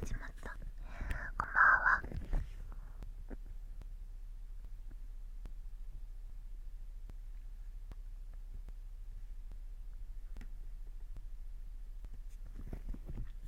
始まったこんばんは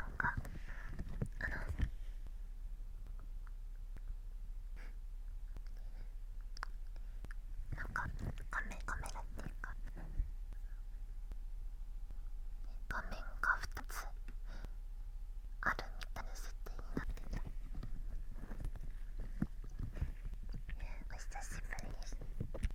なんかあのなんかカメカメラっていうか画面が2つあるみたいな設定になってたお久しぶりです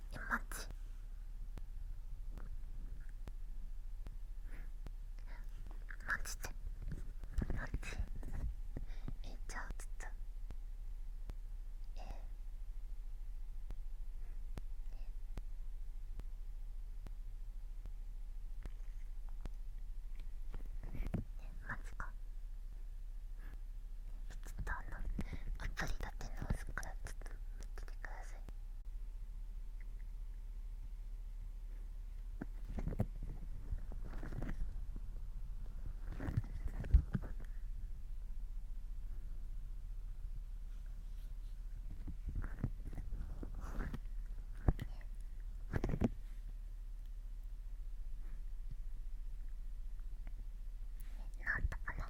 絵文字マジでマジえじゃあちょっとええマジかちょっとあのアプリ立て直すからちょっと見ててください。なんだかな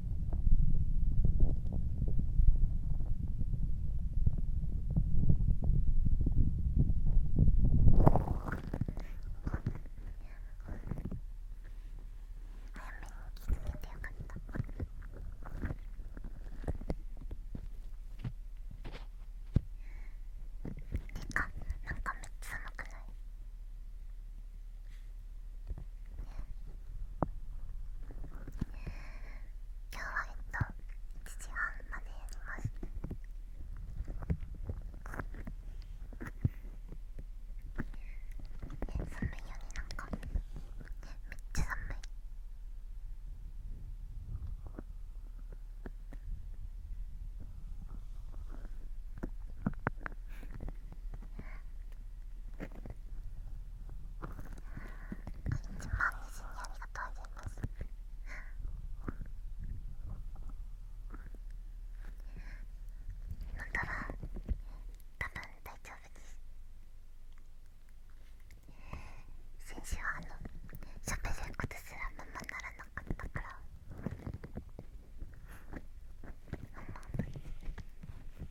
てかなんかめっちゃ寒くない今日はえっと1時半までやりますえ寒いよねなんかえ、めっちゃ寒いえ一万にしにありがとうございます今から多分大丈夫です先週はあのしゃべることすらままならなかったからあんま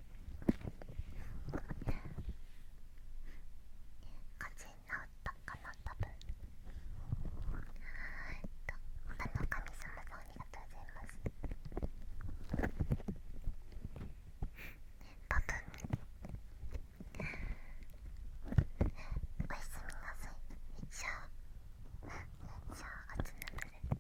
風直ったかな多分えっとあの神様さんありがとうございます多分おやすみなさいじゃあじゃあ暑な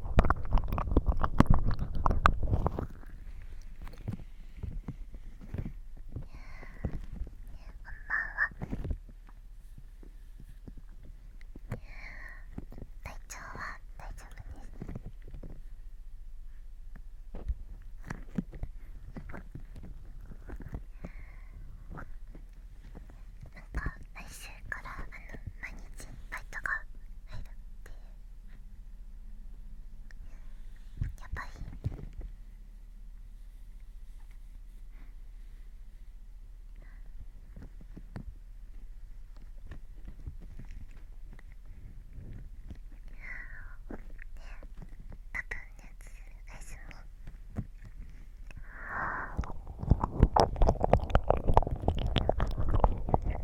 体調は大丈夫です。なんか来週からあの毎日バイトが入るっていうやばいで多分熱するおやす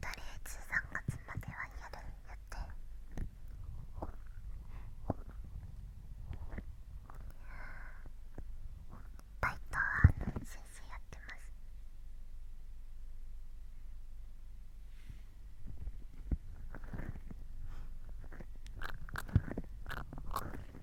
とりあえず3月まではやる予定バイトはあの先生やってますうん。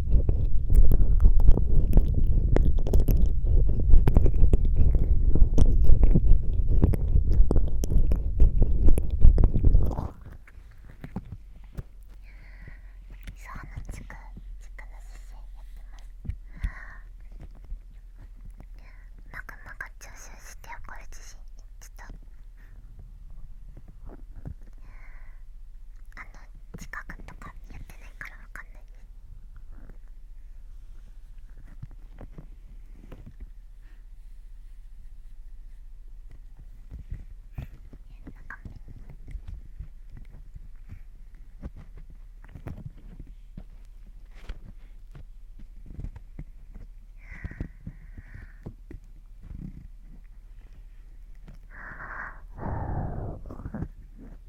ちくの姿勢やってますマグマが吸収して起る地震ちょっとあの近くとかやってないからわかんないああ。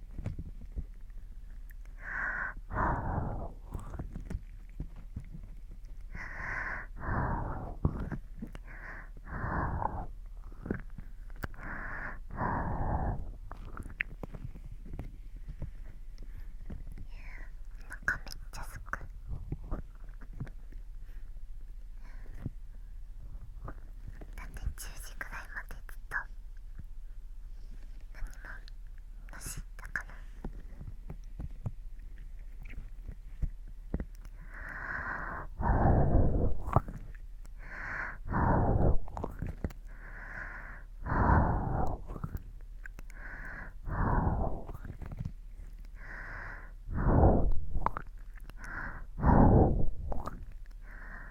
かめっちゃすく。だって10時ぐらいまでずっと何もの知ったかな「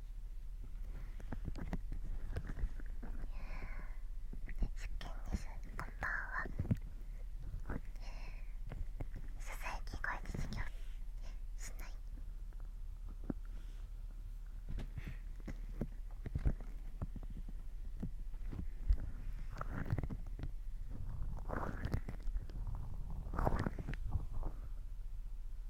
実験ですこんばんはささやき声で授業しないえっと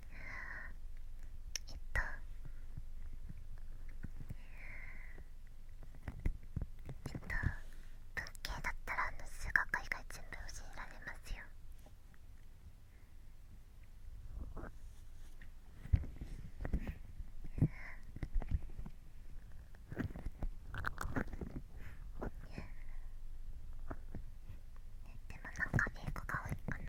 えっとえっと文系だったらあの数学以外全部教えられますよでもなんか英語が多いかな。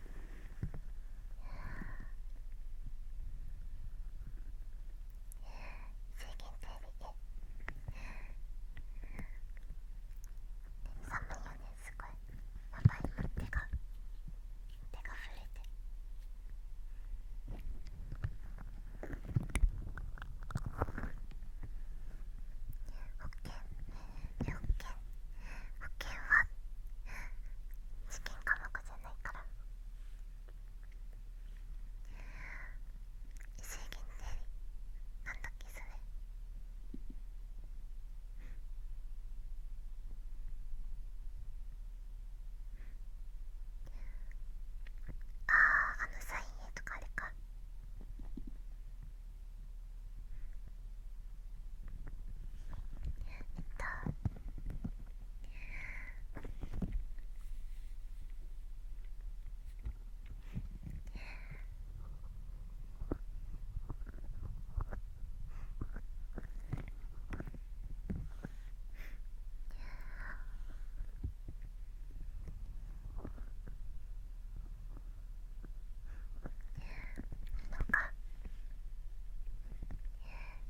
すごいやばい今手が手が震えて保険保険保険は試験科目じないから異次でなんだっけそれあああのサイン絵とかあれかえっとなんか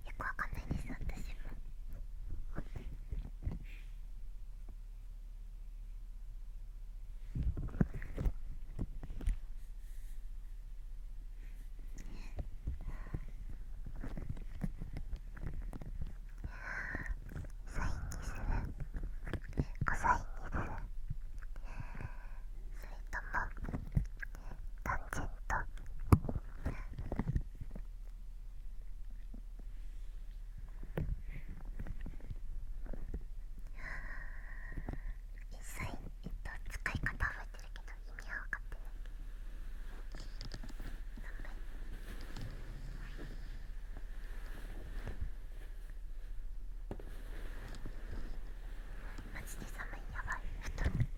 よくわかんないです私も。サインにするコサインにするそれともずっと。一切、えっと、使い方覚えてるけど意味は分かってない。マジで寒いやばい起きちゃった。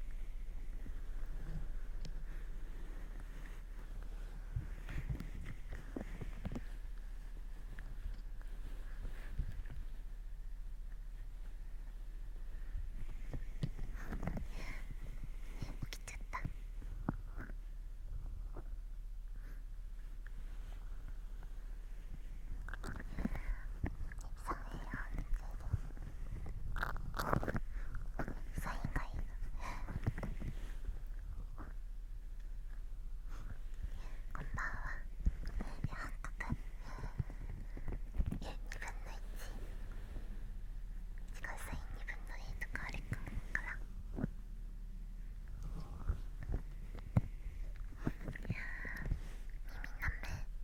サインがいいこんばんは八角え、2分の1しかサイン2分の1とかあれからや耳なめ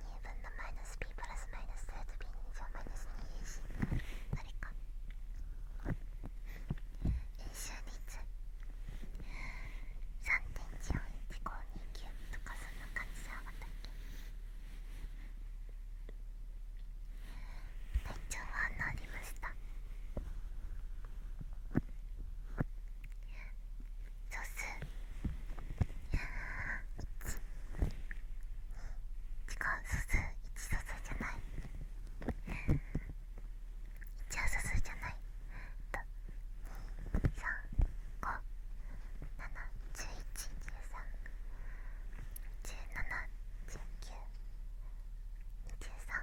2分のマイナス b プラスマイナス 2b の2乗マイナス 2ac それか円周率3.141529とかそんな感じじゃたけ体調は安にりました。そう1 2違う素数1素数じゃない1は素数じゃないと三五七十1十三十七十九二十三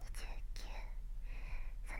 二十九三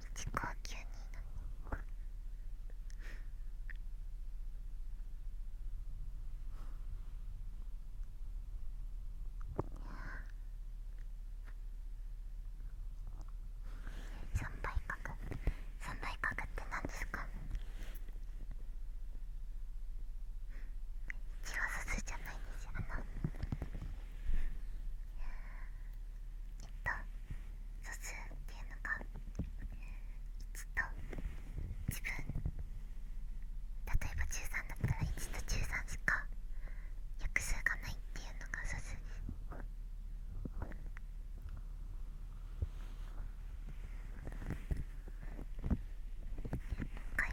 自己吸になる三倍角三倍角って何ですかチワワじゃないですよあのと素数っていうのが1と自分例えば13だったら1と13しか約数がないっていうのが素数です。はい、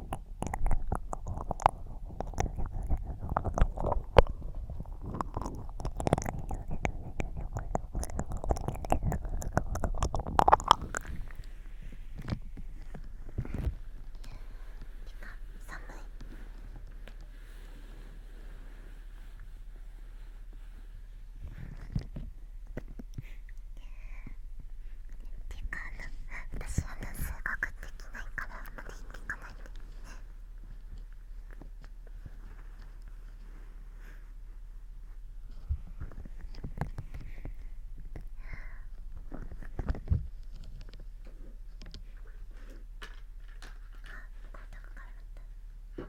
寒いっていうかあの私はね数学できないからまだ行っていかないでねあっこんなかかるんだ。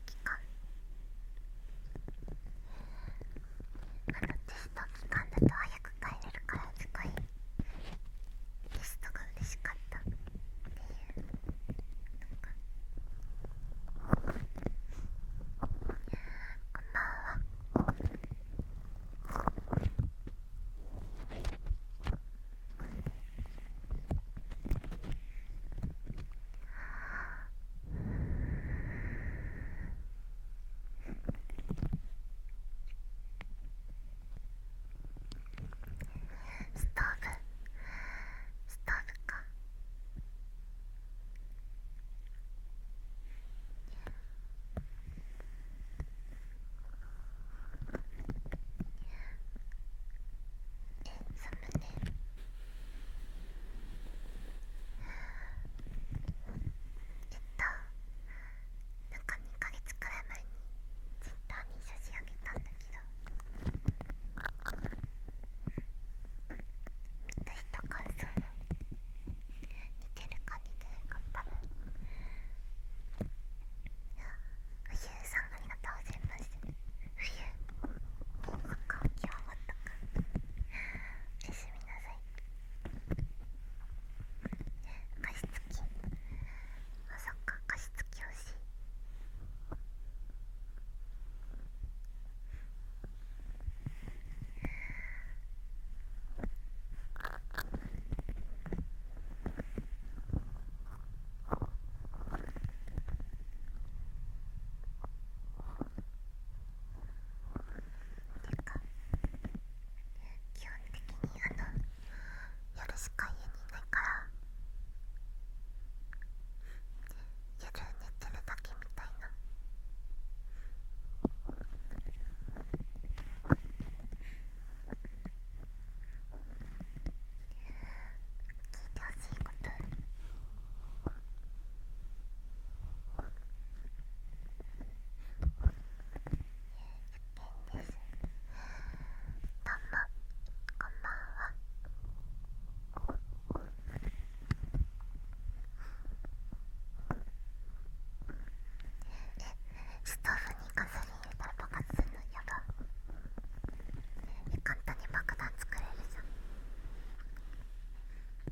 あのテスト期間だと早く帰れるからすごいテストが嬉しかったっていうなかこんばんはストーブストーブかえ寒ねえっとなんか2ヶ月くらい前にツイッターに差し上げたんだけど見た人感想似てるか似てるか多分。うゆうさんありがとうございます。冬の空気をもったか休みなさい加湿器あそっか加湿器欲しいあなんか基本的にあの夜しか家にいないから夜寝てるだけみたいな。聞いてほしいこと。え、ストーブにガソリン入れたら爆発するのやば簡単に爆弾作れるじゃん失礼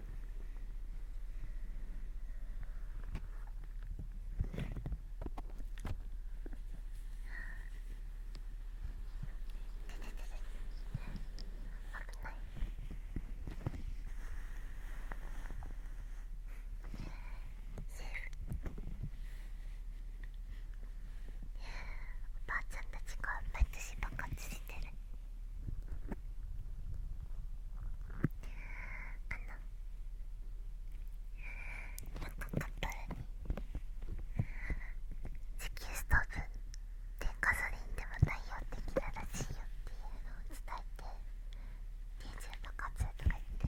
おばあちゃんたちがめっちゃついてる。あなんかカップルに地球、ストーブでガソリンでも太陽できたらしいよっていうのを伝えて電0とか1とか言って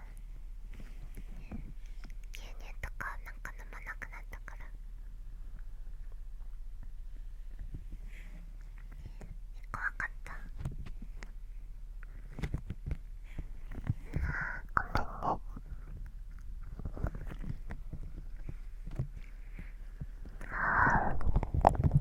牛乳とかなんか飲まなくなったから怖かったああ、ごめんね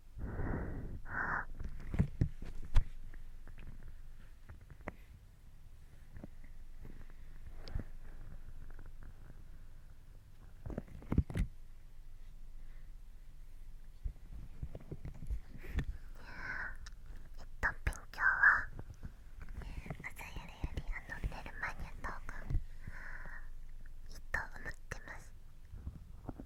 と勉強は朝やるよりあの寝る前にやった方がいいと思ってます。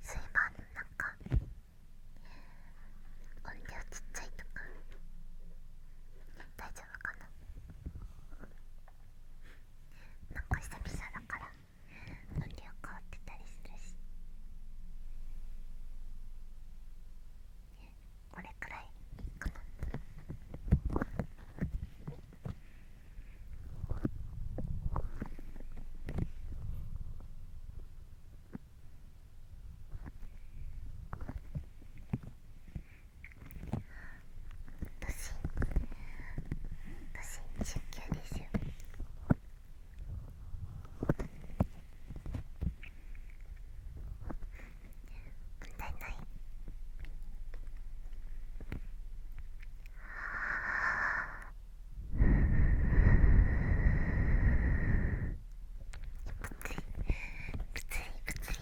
すいませんなんか音量ちっちゃいとか大丈夫かななんか久々だから音量変わってたりするしこれくらいかな私私出休ですよ問題ないはあ。物理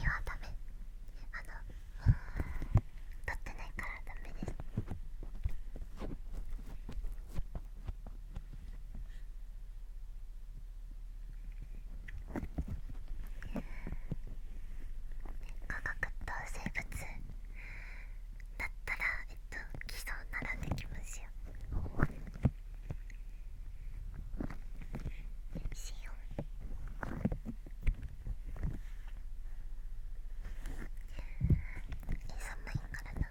はダメあの取ってないからダメです科学と生物だったらえっと基礎並んできますよしよう寒いからな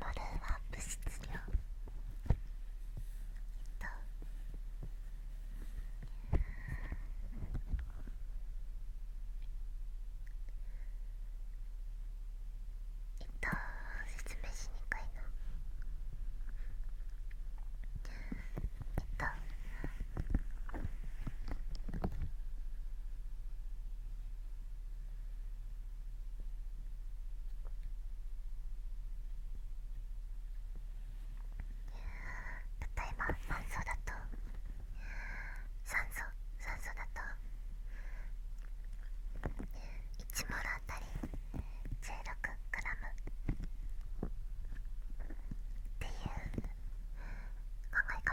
モルは物質量えっとえっと説明しにくいなえっとえっと例えば酸素だと酸素酸素だと1モルあたり 16g っていう考え方。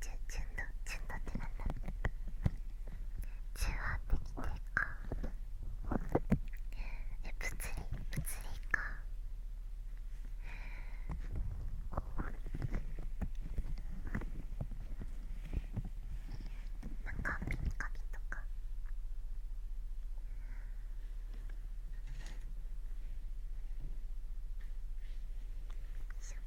ちゅちゅんどちゅんどってなんだってきてか。え物理物理かなんか耳かきとかよいしょ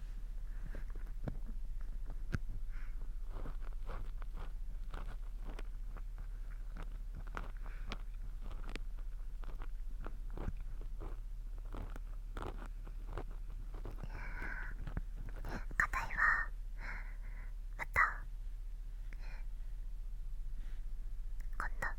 課題はまた今度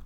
取れた。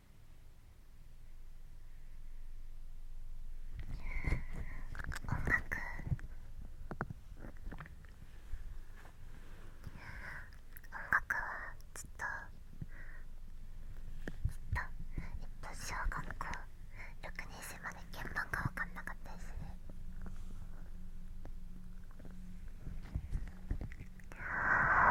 音楽音楽はずっとずっとえっと小学校6年生まで現場が分かんなかったですね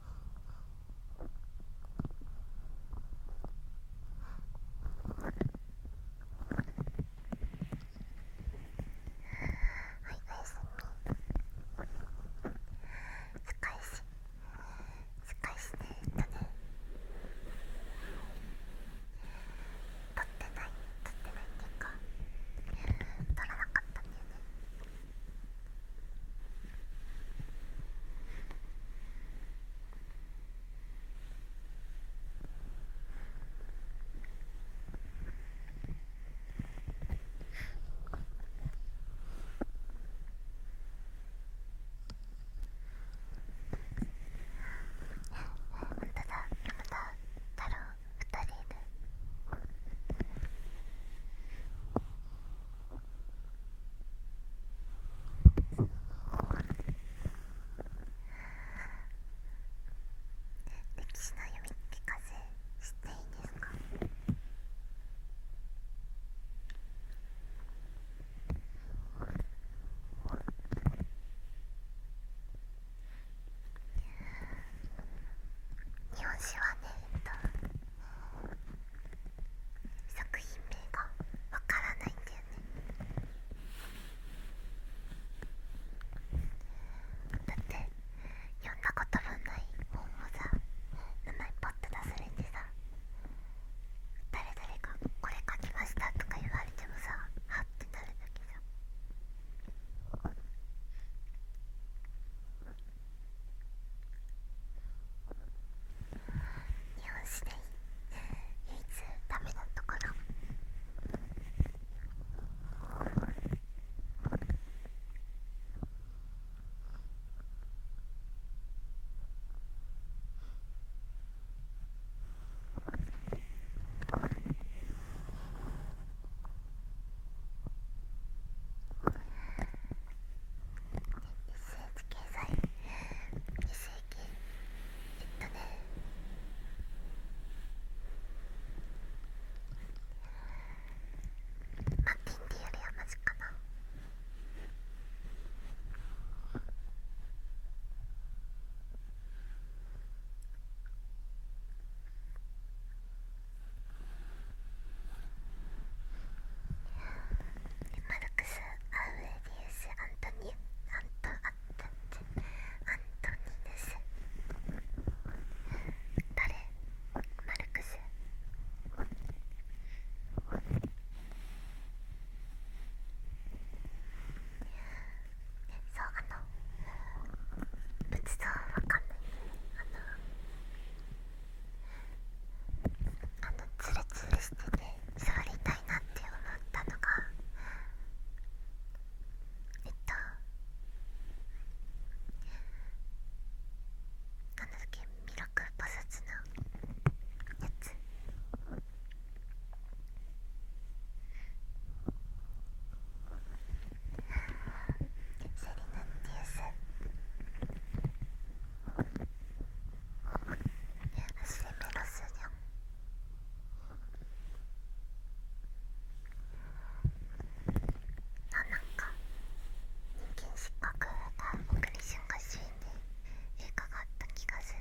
はいおやすみすっかりしすっかてね撮ってない撮ってないっていうか撮らなかったんだよね本当だまた太郎2人いる。歴史の読み聞かせしていいですか日本史はねえっと作品名がわからないんだよねだって読んだことのない本をさ名前パッと出されてさ誰々が「これ書きました」とか言われてもさはってなるだけじゃん日本史で唯一ダメだったかな日経済日世紀えっとねマッテンディーよりはマジかなマルクス・アウエディウス・アントニアント・アントニアントニヌス誰マルクスそうあの仏像はわかんないあのあのツルツルしてて、座りたいなって思ったのがえっとあの時、ミラクル菩薩のやつセリナ・ディウス냐나なんか人間失格が僕に瞬間シーンでえ、かかった気がする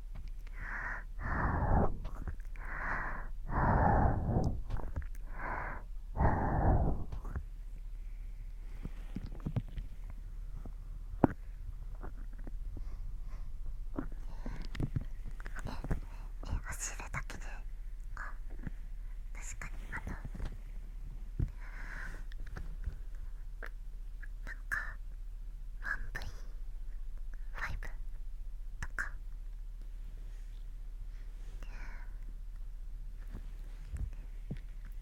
ははあ。あ。ねえ、お尻だけであ確かにあのなんか 1V5 とか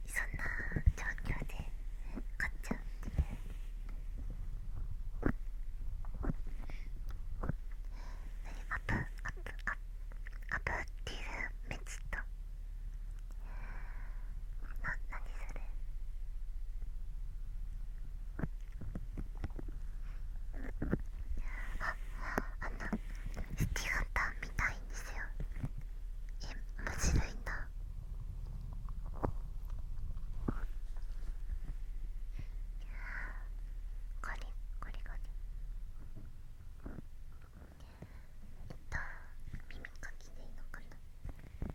そんな状況で買っちゃうっていうアプアプアプっていうメチと何それああのスティガンタンみたいにですよえ面白いんこれこれこれえっと耳かきでいいのかな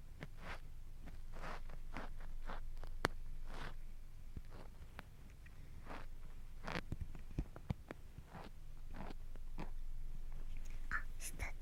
スタート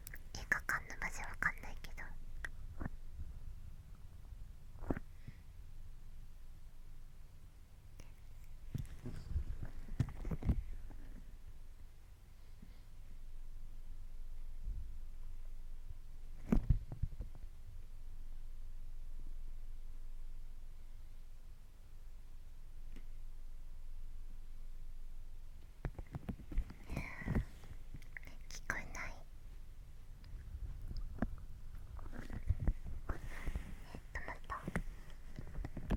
映画館のマジわかんないけど聞こえないえ止またこれでいい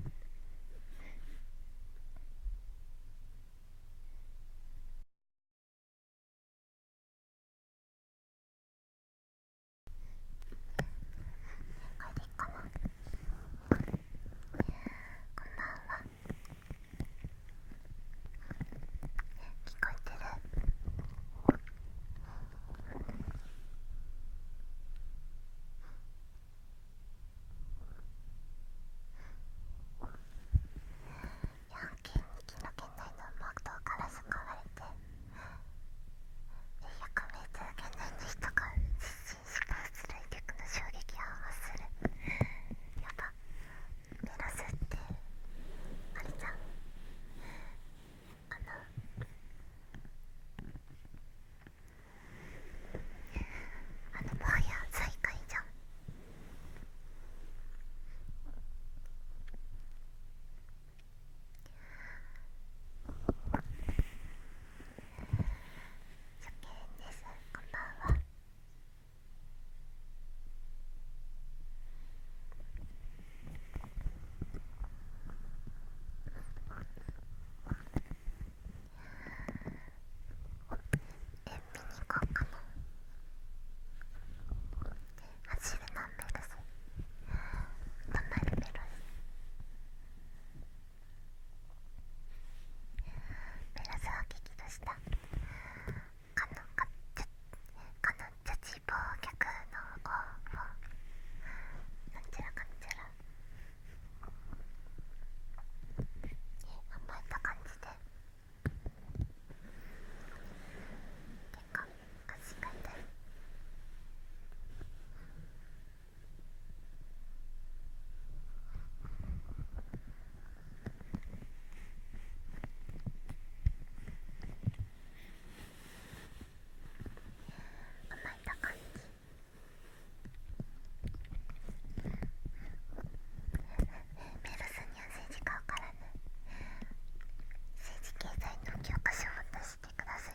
こんばんは。聞こえてるヤンキーに気の圏内のマクドからスがれて100メートル圏内の人が失神した圧力の衝撃を発するやば減らすってあれじゃんあのあのもはや最下位じゃん初見ですこんばんは。こうかな走る何メロス止まるメロスメロスは激怒したかのかちかのちゃち忘却の方法なんちゃらかんちゃら甘えた感じでてか足が痛いあうまいた感じメルスには政治家からね政治経済の教科書を出してください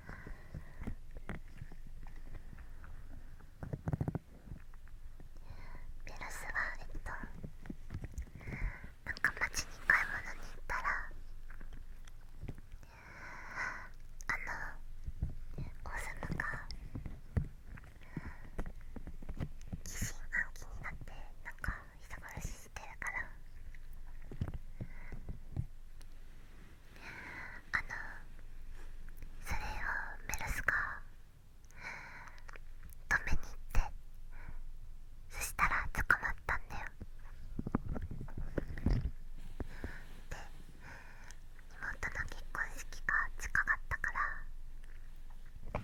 ベラスはえっとなんか街に買い物に行ったらあの王様が疑心暗鬼になってなんか忙しい。しからあのそれをメルスが止めに行ってそしたら捕まったんだよで妹の結婚式が近かったから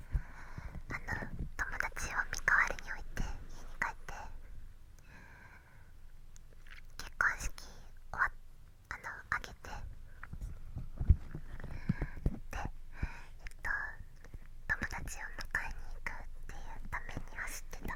あの友達を身代わりに置いて家に帰って。結婚式終わをあのあげてでえっと友達を迎えに行くっていうために走ってた。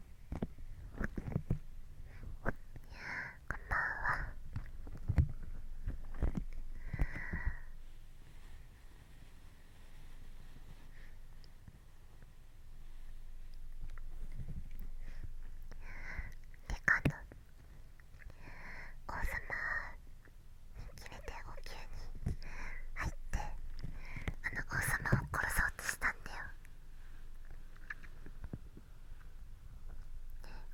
こんんばは。カの王様に決めてお宮に入ってあの王様を殺そうと。したんだよ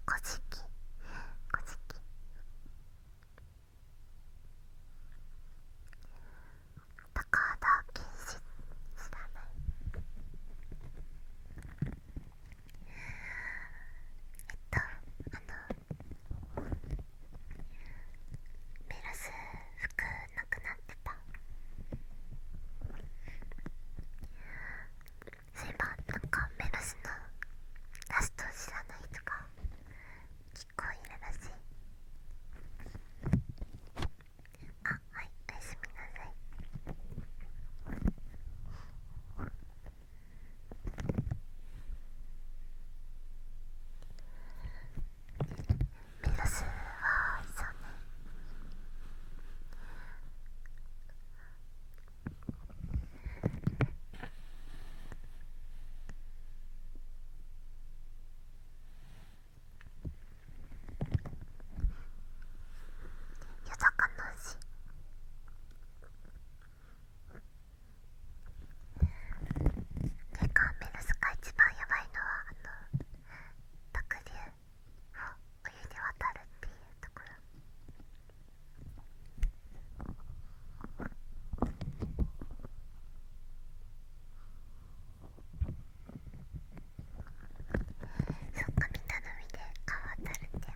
古事記古事記高田健志知らないえっとあのメロス服なくなってたそういえばなんかメロスのラスト知らないとか結構いるらしいあはいおやすみなさいメロスはそうね夜中の牛てかメロスが一番やばいのはあの濁流を泳で渡るっていうところ。そっか、みたのみで川渡るんだよ。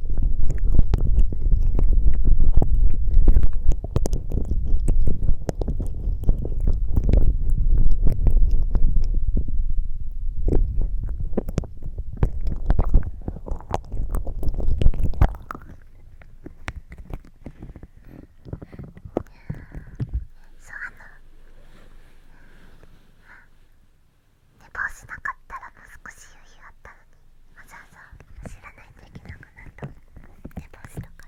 そうあ寝坊しなかったらもう少し余裕あったのに。わざわざ知らないといけなくなった寝坊したから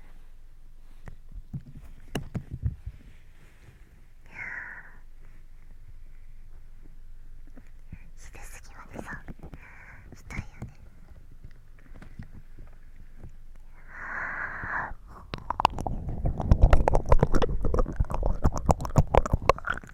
いや昼すぎまでさしいよねああ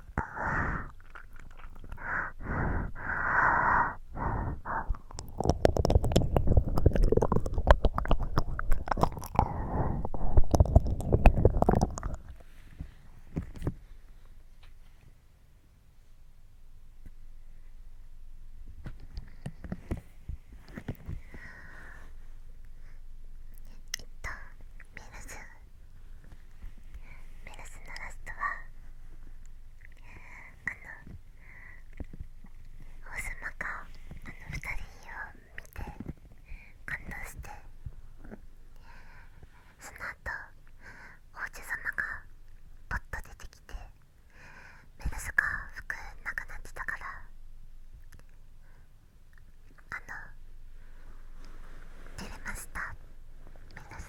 えっと、ミメルスのラストはあの王様かあの二人を見て感動してその後王子様がポッと出てきてメルスが服なくなってたからあの「照れましたメルス」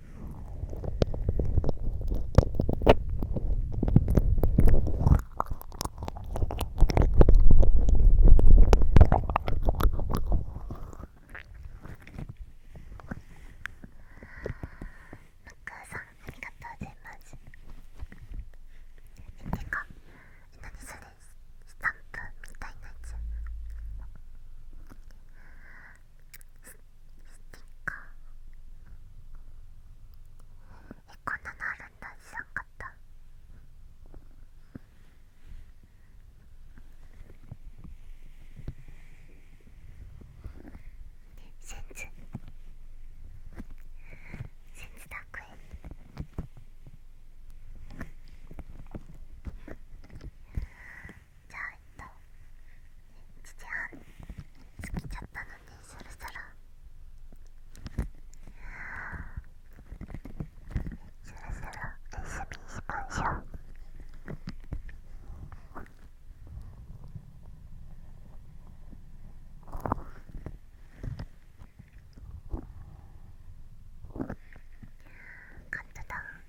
さんありがとうございますてか何それスタンプみたいなやつティッカーえこんなのあるんだ知らんかったセンズセンズ楽園じゃあえっと1時半過ぎちゃったのでそろそろそろそろ休みしましょうカットダウン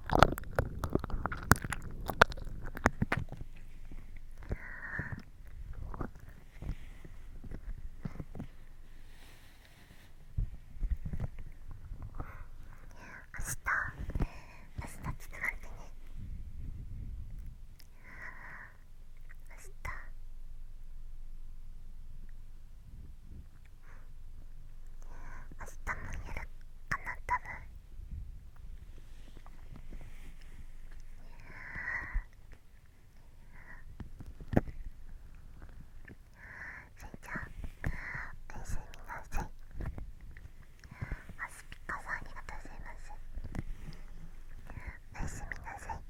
明日明日もやるかな多分スイちゃんおやすみなさいあスピカさんありがとうございますおやすみなさい